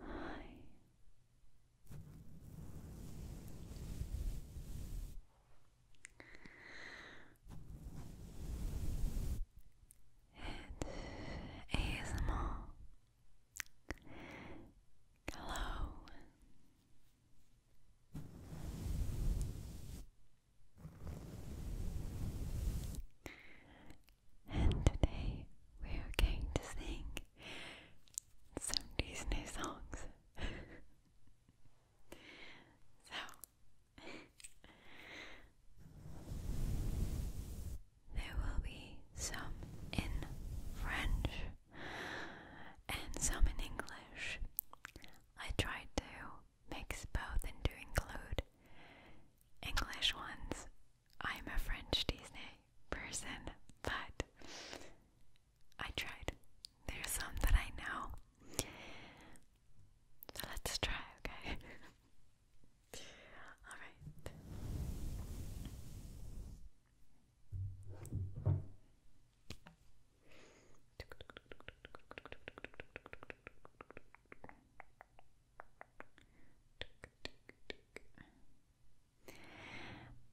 Hi. It's ASMR. Hello. And today we are going to sing some Disney songs. so, there will be some in French and some in English. I tried to mix both and do include English ones. I'm a French Disney person, but I tried. There's some that I know. So let's try, okay? Alright.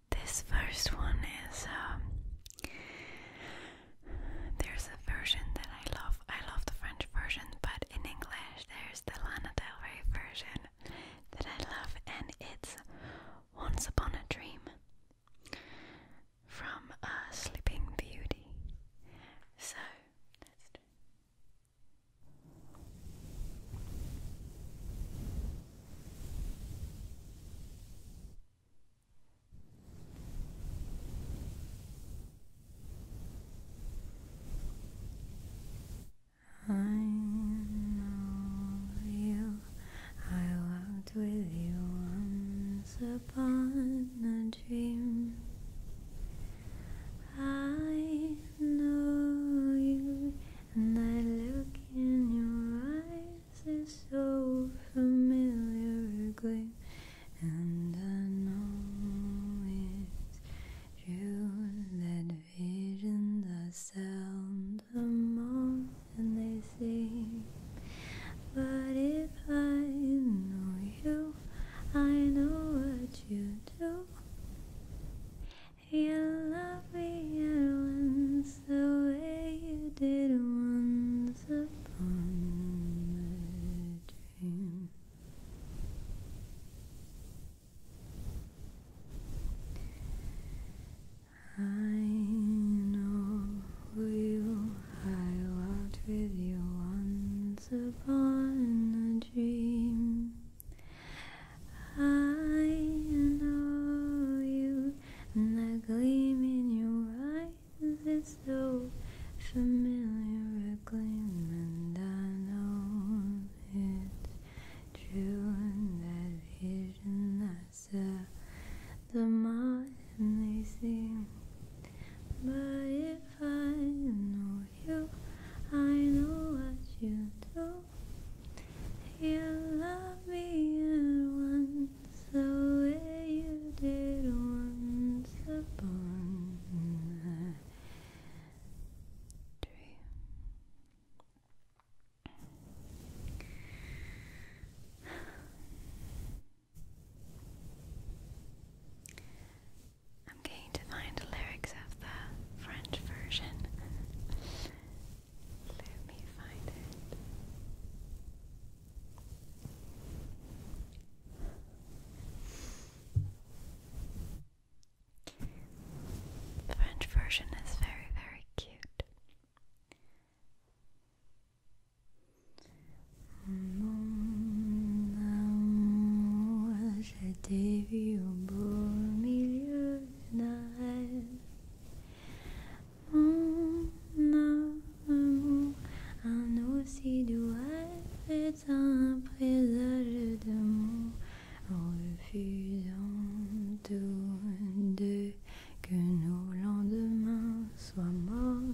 This first one is um, there's a version that I love. I love the French version, but in English there's the Lana Del Rey version that I love, and it's Once Upon a Dream from "A uh, Sleeping Beauty. So I know you. I walked with you once upon a dream. I know you, and I look in your eyes, it's so familiar again, and I know it's true that vision, the sound, the moon, and they say. But if I know you, I know what you do. You love me once the way you did once upon a dream. I know you. I walked with you once upon a dream. I know you, and that gleam in your eyes is so familiar a gleam, and I know it's true. And that vision I saw, uh, the moss and they see. But if I know you, I know what you do. You love me at once the way you did once upon a I'm going to find the lyrics of the French version. Let me find it. The French version is very, very cute. Mon amour, j'étais vu au beau milieu d'un rêve. Mon amour, un aussi doux rêve est un présage mots en refusant tous deux que nos lendemains soient morts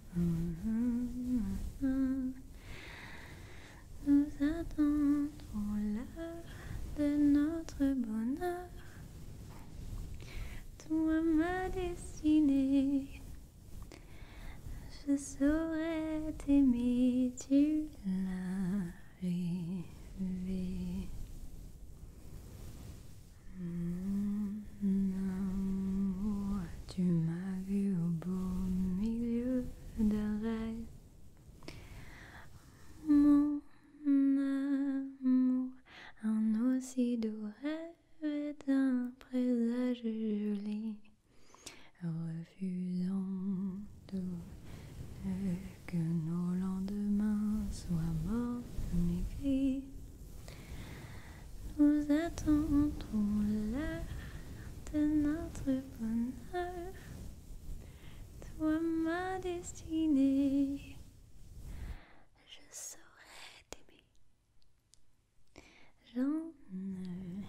nous attendons l'heure de notre bonheur. Toi, ma destinée, je saurais t'aimer, tu l'as rêvé. Hmm amour, tu m'as vu au beau milieu de rêve. Mon amour, un aussi doux rêve est un présage joli. Refusons tout que nos lendemains soient morts, mes filles. Nous attendons l'heure de notre bonheur. Toi, ma destinée, je saurais t'aimer. J'en rêvais.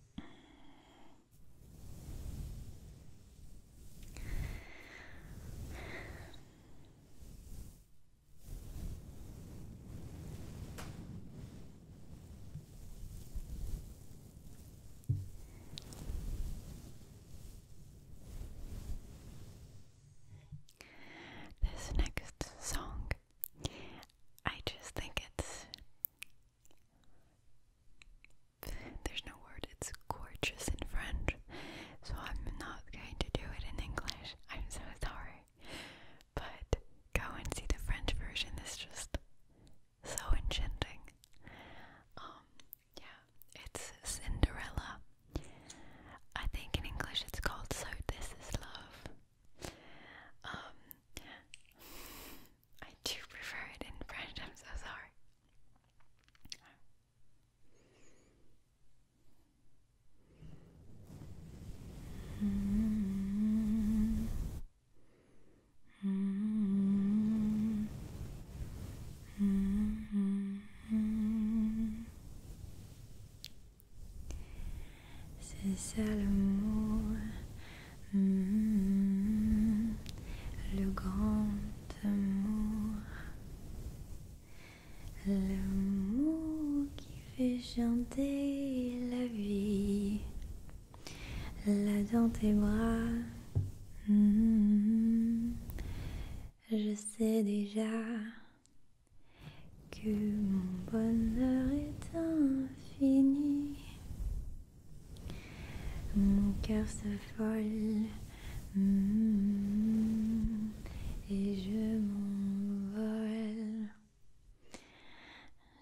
This next song, I just think it's there's no word, it's gorgeous in French, so I'm not going to do it in English. I'm so sorry. But go and see the French version, it's just so enchanting. Um, yeah, it's Cinderella. I think in English it's called So This Is Love. Um, I do prefer it in French. I'm so sorry. C'est ça l'amour. Mm-hmm. le grand amour. L'amour qui fait chanter la vie. Là dans tes bras. Mm-hmm. je sais déjà que mon bonheur est un fini Mon cœur se folle mm. et je m'envole.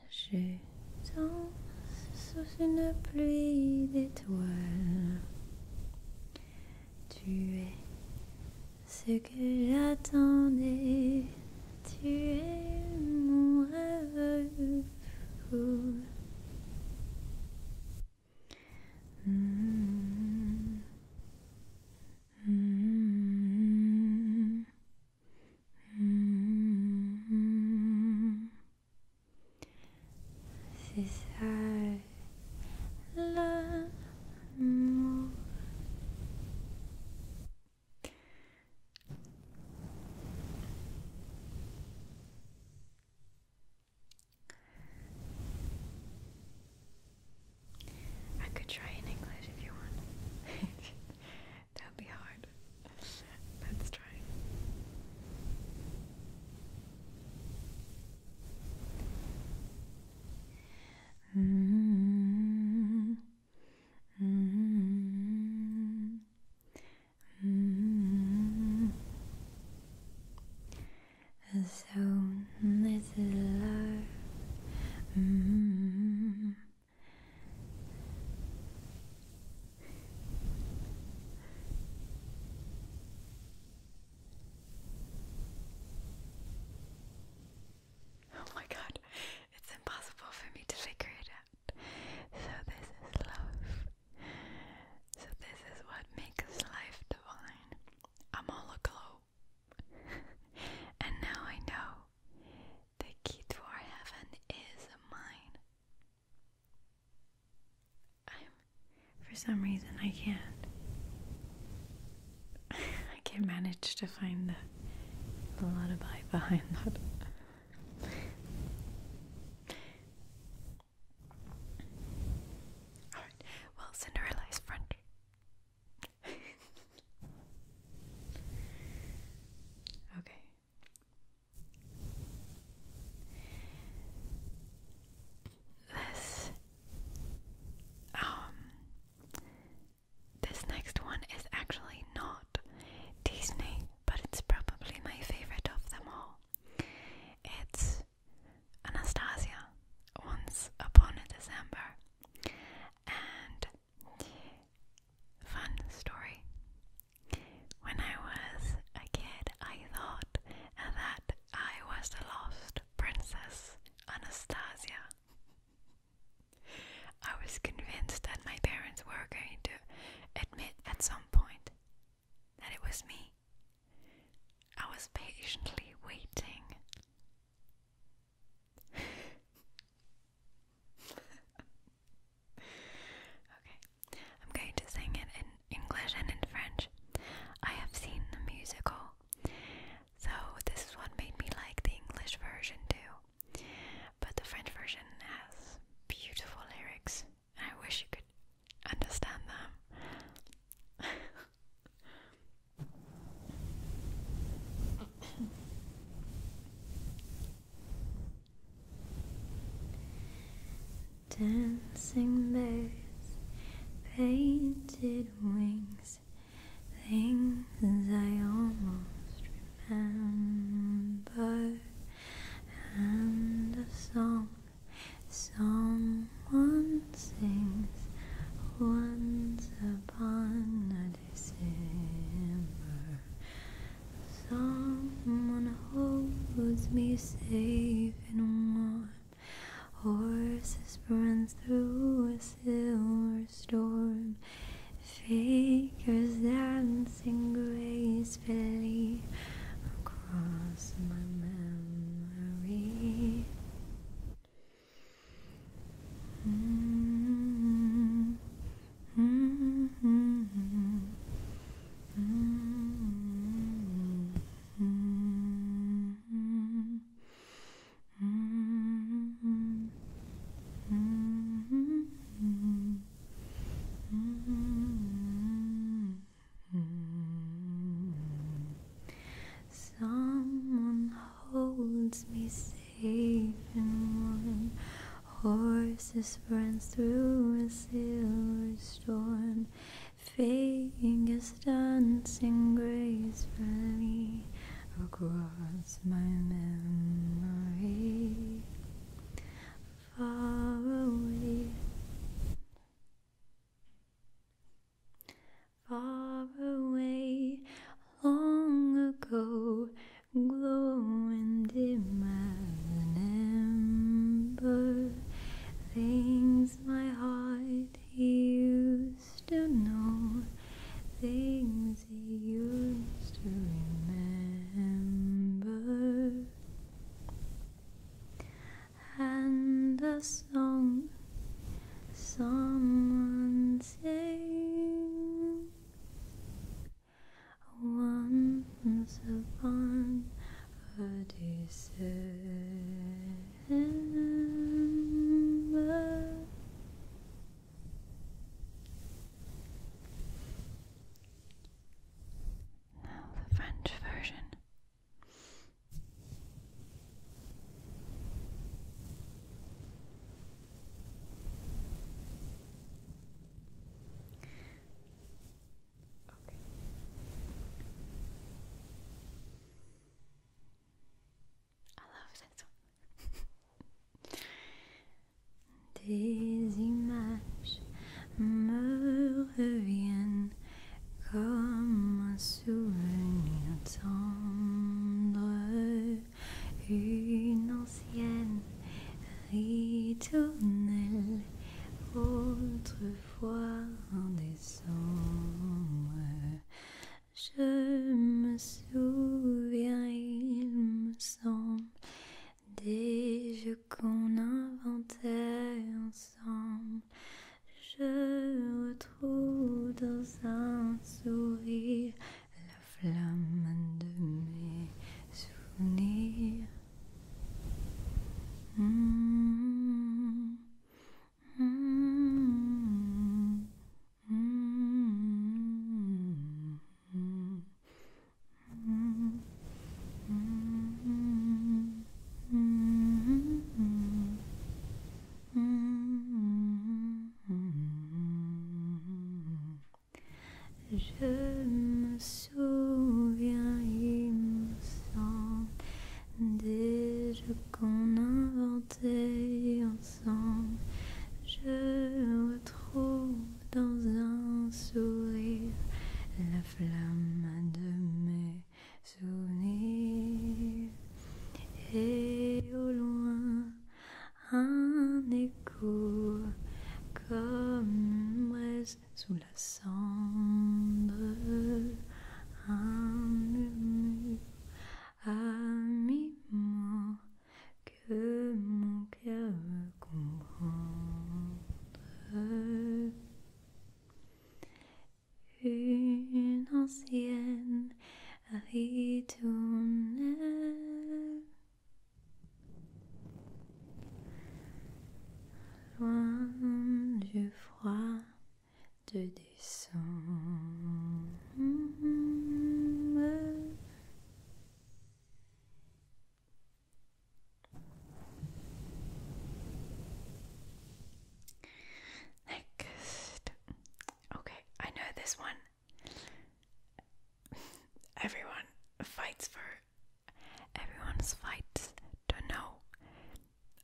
Je danse sous une pluie d'étoiles. Tu es ce que j'attendais tu es mon rêve. fou C'est ça l'amour. I could try in English if you want. that would be hard. Let's try. Mm-hmm. Mm -hmm. Mm So this is love. -hmm. Oh my god, it's impossible for me to figure it out. So, this is love. So, this is what makes life divine. I'm all aglow. and now I know the key to heaven is mine. I'm, for some reason, I can't. I can manage to find the lullaby behind that. Alright, well, Cinderella is French. okay. This um this next one is actually not Disney, but it's probably my favorite of them all. It's Anastasia, Once Upon a December. And fun story. When I was a kid, I thought that I was the lost princess Anastasia. I was convinced that my parents were going to admit at some point that it was me. I was patiently waiting. okay, I'm going to sing it in English and in French. I have seen the musical, so this is made me like the English version too. But the French version has beautiful lyrics, and I wish you could understand them. Dancing birds, painted wings, things I almost remember, and a song someone sings once upon a December. Someone holds me safe and warm. Horses run through a silver storm. Figures dancing gracefully across my memory. Someone holds me safe and warm. Horses run through a silver storm. Fingers dancing gracefully across is my memory far away, far away, long ago, glowing dim as an ember, things my heart used used to know, things he used to remember, and a song someone sang once upon a December. Now the French version. Okay. Des images me reviennent comme un souvenir tendre, une ancienne ritournelle, autrefois en décembre. Je me souviens, il me semble, des jeux qu'on inventait ensemble. Je retrouve dans un sourire la flamme de mes souvenirs. Hmm. Je me souviens, il me semble, déjà qu'on invente ensemble. Je trouve dans un sourire la flamme de mes souvenirs. Et au loin, un écho comme reste sous la cendre. Un à moi que mon cœur me comprend, Une ancienne ritournelle, loin du froid de Next. Okay, I know this one. Everyone fights for everyone's fights Don't know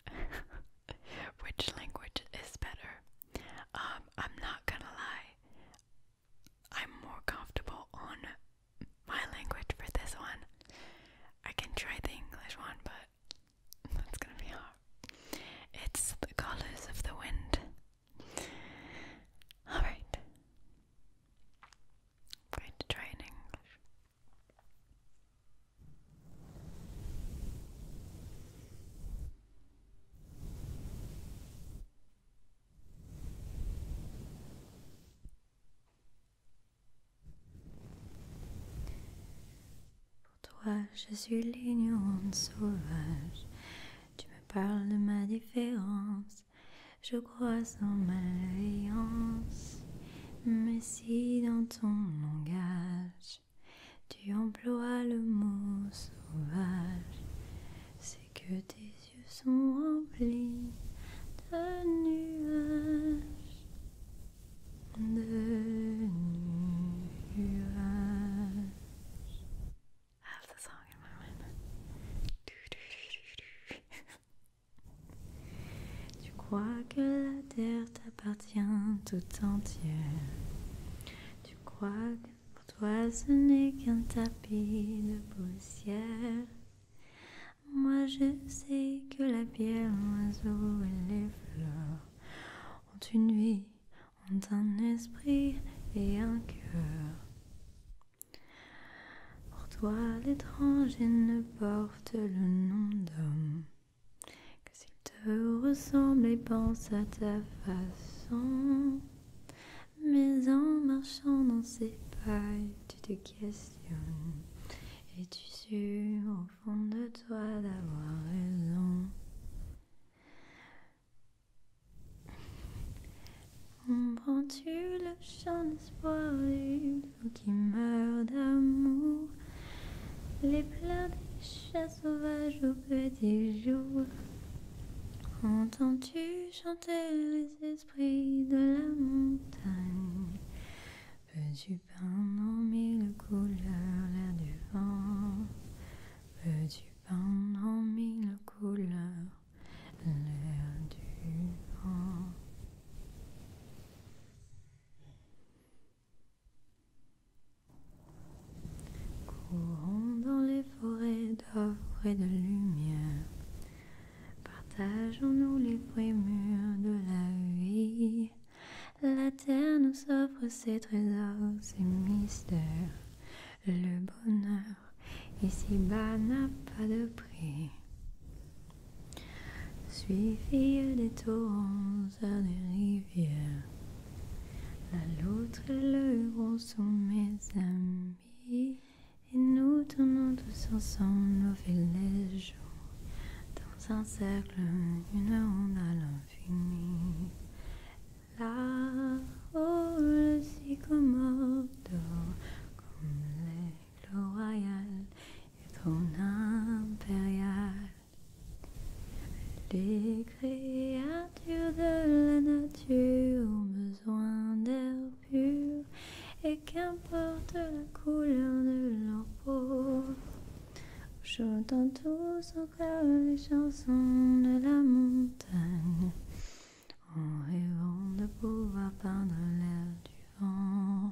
Which language is better? Um, I'm not gonna lie. I'm more comfortable on my language for this one. I can try the English one, but that's gonna be hard. It's the colors of the wind. Alright. going to try in English. Pour toi, je suis l'ignorante sauvage. Tu me parles de ma différence. Je crois en malveillance, mais si dans ton langage tu emploies le mot sauvage. C'est que tes yeux sont remplis de nuages. De nuages. Ah, tu crois que la terre t'appartient tout entier. Tu crois que pour toi ce n'est qu'un tapis de poussière. Moi je sais que la pierre, l'oiseau et les fleurs ont une vie, ont un esprit et un cœur. Pour toi l'étranger ne porte le nom d'homme. Que s'il te ressemble et pense à ta façon, mais en marchant dans ses pailles tu te questionnes. Et tu sûr au fond de toi d'avoir raison. Comprends-tu le champ d'espoir ou qui meurt d'amour les pleurs des chats sauvages au petit jour. Entends-tu chanter les esprits de la montagne? Peux-tu pain en mille couleurs l'air du vent? Peux-tu pain en mille couleurs l'air du vent? Courons dans les forêts d'or et de lumière, partageons-nous les prémurs de la vie. La terre nous offre ses trésors, ses mystères. Le bonheur ici-bas n'a pas de prix. Suis des torrents, des rivières. La loutre et le héros sont mes amis. Et nous tournons tous ensemble nos villages jours. Dans un cercle, une ronde à l'infini. Là, oh, le sycomore comme l'aigle royal et ton impérial. Les créatures de la nature ont besoin d'air pur et qu'importe la couleur de leur peau. Chantons tous encore les chansons de la montagne en rêvant de pouvoir peindre l'air du vent.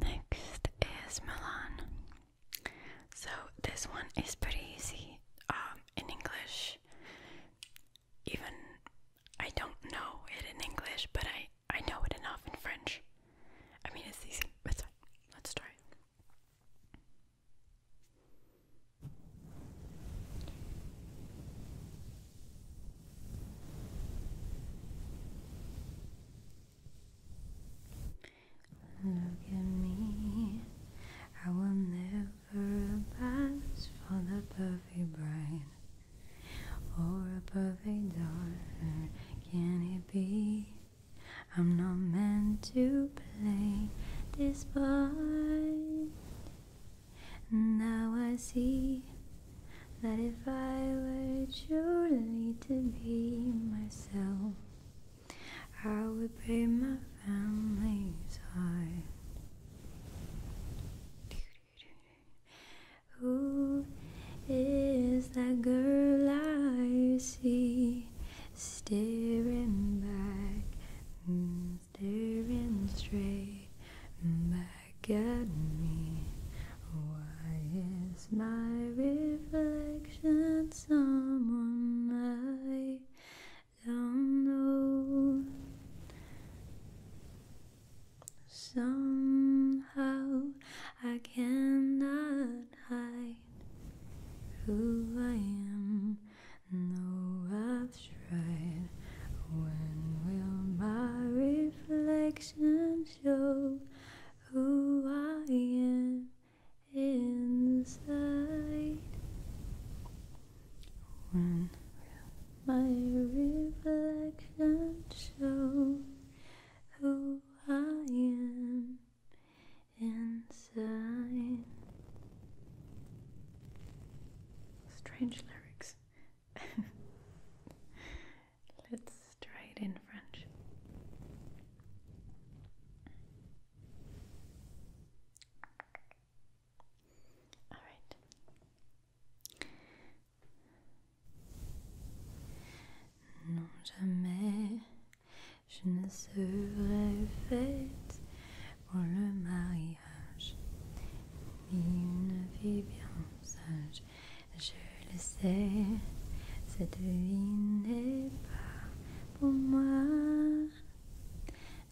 Next is Milan. So this one is pretty easy um, in English. Even I don't know it in English, but I I know it enough in French. I mean it's easy. But let's try. Look at me, I will never pass for the perfect bride or a perfect daughter. Can it be? I'm not meant to play this part. Now I see that if I were truly to be myself, I would break my family's heart. Who is that girl I see staring back, mm, staring straight back at me? Why is my reflection someone I don't know? Somehow I cannot hide who I am. No, I've tried. When will my reflection show? who I am inside. When my reflection show who I am inside. Strange lyrics. Let's try it in French. All right. Non, jamais je ne serai faite pour le mariage, ni une vie bien sage. je le sais, cette vie n'est pas pour moi.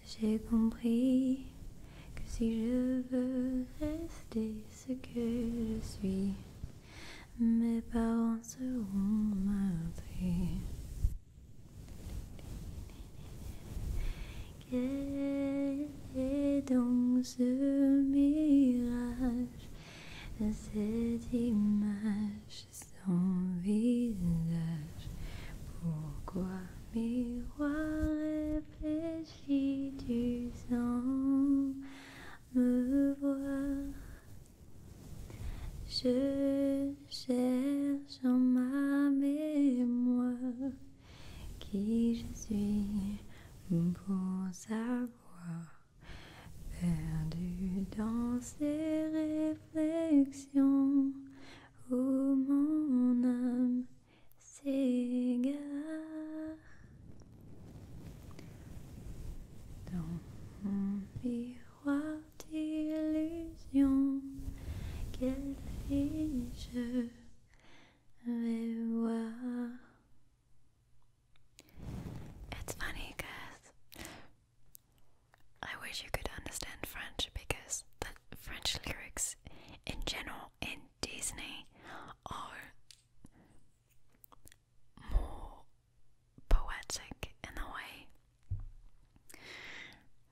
J'ai compris que si je veux rester ce que je suis, mes parents seront meurtris. Quel est donc ce mirage cette image, sans visage. Pourquoi miroir réfléchit du sang me voir Je cherche en ma mémoire qui je suis pour savoir perdu dans ces réflexions, où mon âme s'égare. Dans mon miroir d'illusion, quelle fille je vais voir. It's funny because I wish you could understand French because the French lyrics in general in Disney are more poetic in a way.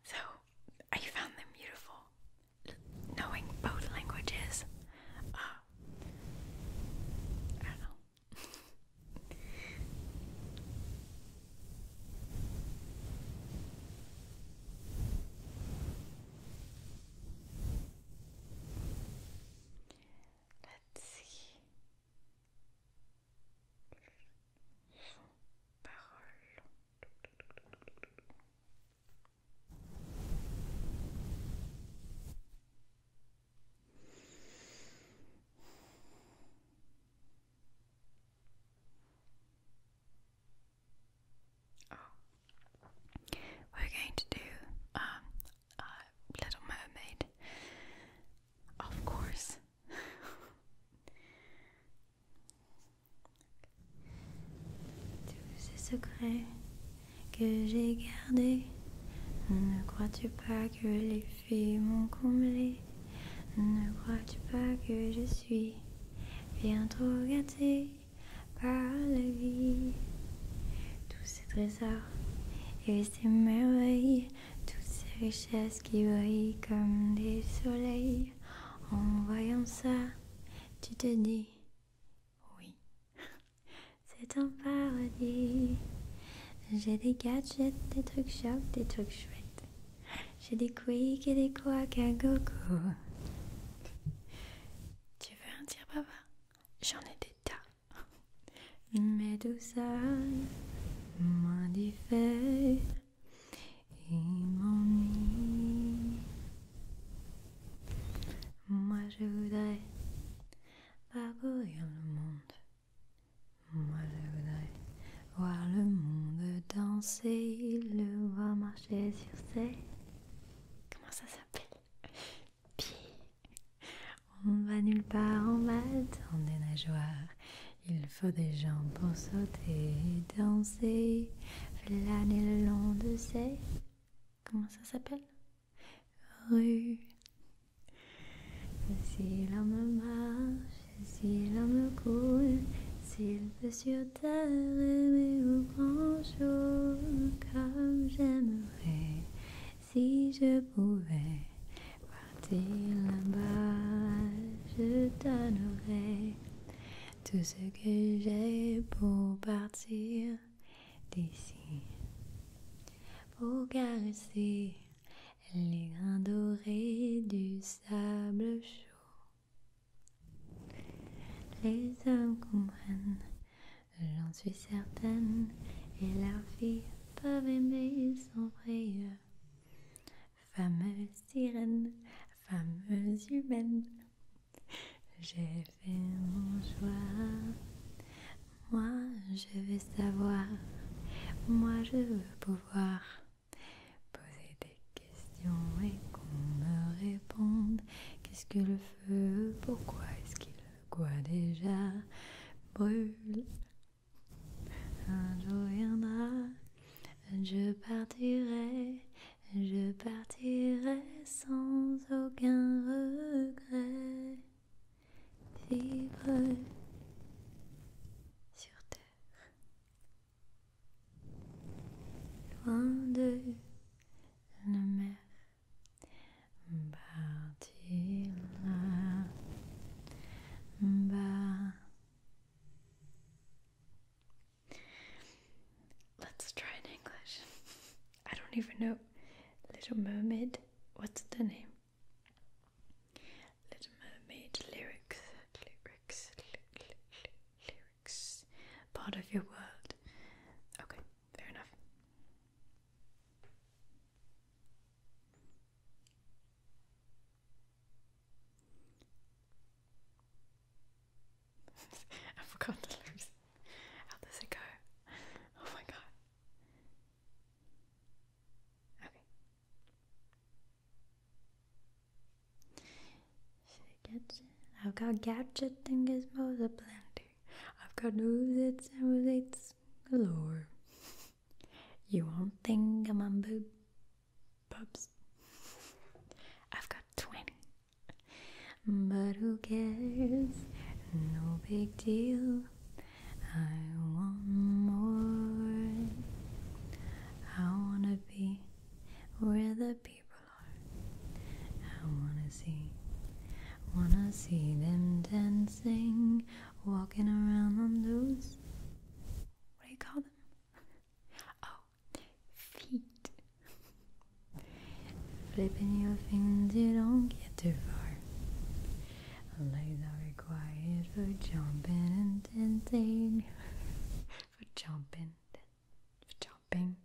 So I found them beautiful. knowing both languages uh, Ah non. Let's see. Parole. Oh, we're going to do um, Little Mermaid, of course. Tout ce secret que j'ai gardé. Ne crois-tu pas que les filles m'ont comblé Ne crois-tu pas que je suis bien trop gâtée par la vie Tous ces trésors et ces merveilles, toutes ces richesses qui brillent comme des soleils. En voyant ça, tu te dis oui. C'est un paradis. J'ai des gadgets, des trucs chocs, des trucs chouettes. J'ai des quicks et des quacks à gogo. Tu veux un dire papa J'en ai des tas. Mais tout ça, moins des feuilles, m'ennuie. Moi je voudrais parcourir le monde. Moi je voudrais voir le monde danser, le voir marcher sur ses. Comment ça s'appelle Pieds. On va nulle part, en va dans des nageoires. Il faut des jambes pour sauter, danser, flâner le long de ses Comment ça s'appelle Rue. Si l'homme marche, si l'homme coule, s'il veut sur terre aimer au grand jour, comme j'aimerais si je pouvais partir là-bas, je t'adorerais. tout ce que j'ai pour partir d'ici pour caresser les grains dorés du sable chaud. Les hommes comprennent, j'en suis certaine, et leurs filles peuvent aimer sans frayeur. Fameuse sirène, fameuse humaine, j'ai fait mon choix. Moi, je veux savoir. Moi, je veux pouvoir poser des questions et qu'on me réponde. Qu'est-ce que le feu Pourquoi est-ce qu'il quoi déjà brûle Un jour viendra, je partirai je partirai sans aucun regret, vivre sur terre, loin de la mer, partir bas. Let's try in English. I don't even know. Little Mermaid, what's the name? Little Mermaid lyrics, lyrics, lyrics. Part of your world. Okay, fair enough. I forgot the lyrics. How does it go? Oh my god. Okay. I've got gadgets and gizmos aplenty. I've got oozits and oozits galore. You won't think I'm on boob. Bubs. I've got 20 but who cares? No big deal. I want more. I wanna be where the people are. I wanna see, wanna see them dancing, walking around on those. What do you call them? Oh, feet. Flipping your fins, you don't get too far. Legs are required for jumping and dancing. for jumping, for jumping,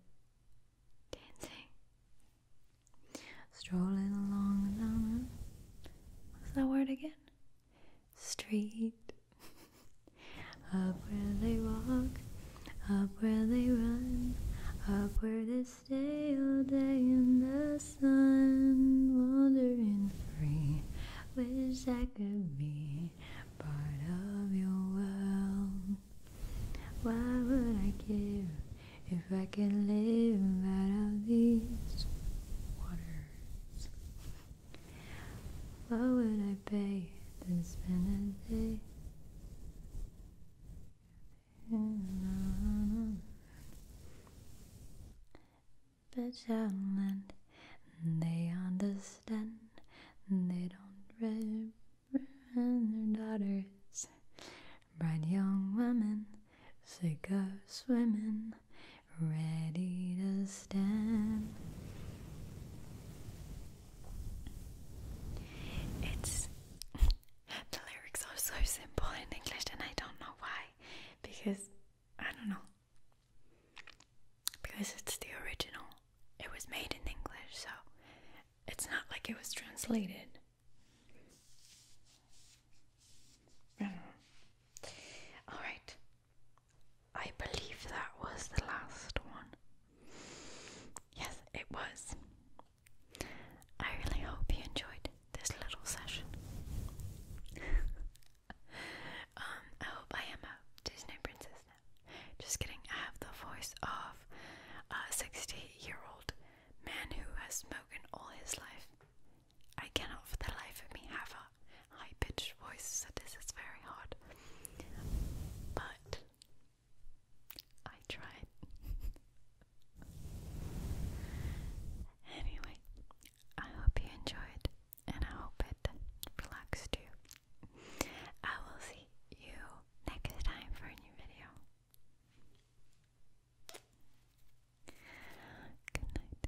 dancing. Strolling along the what's that word again? Street. Up where they walk, up where they run, up where they stay all day in the sun, wandering free. Wish I could be part of your world. Why would I care if I could live out of these waters? What would I pay to spend a day? But Bitch Outland, they understand, they don't reprehend their daughters. Bright young women, cigar swimming, ready to stand. It's the lyrics are so simple in English, and I don't know why. Because I don't know. Because it's the original. It was made in English, so it's not like it was translated. I don't know. Alright. I believe that was the last one. Yes, it was. I really hope you enjoyed this little session. um, I hope I am a Disney princess now. Just kidding, I have the voice of a 60 year old man who has smoked all his life. I cannot for the life of me have a high pitched voice, so this is very hard. But I tried. anyway, I hope you enjoyed and I hope it relaxed you. I will see you next time for a new video. Good night.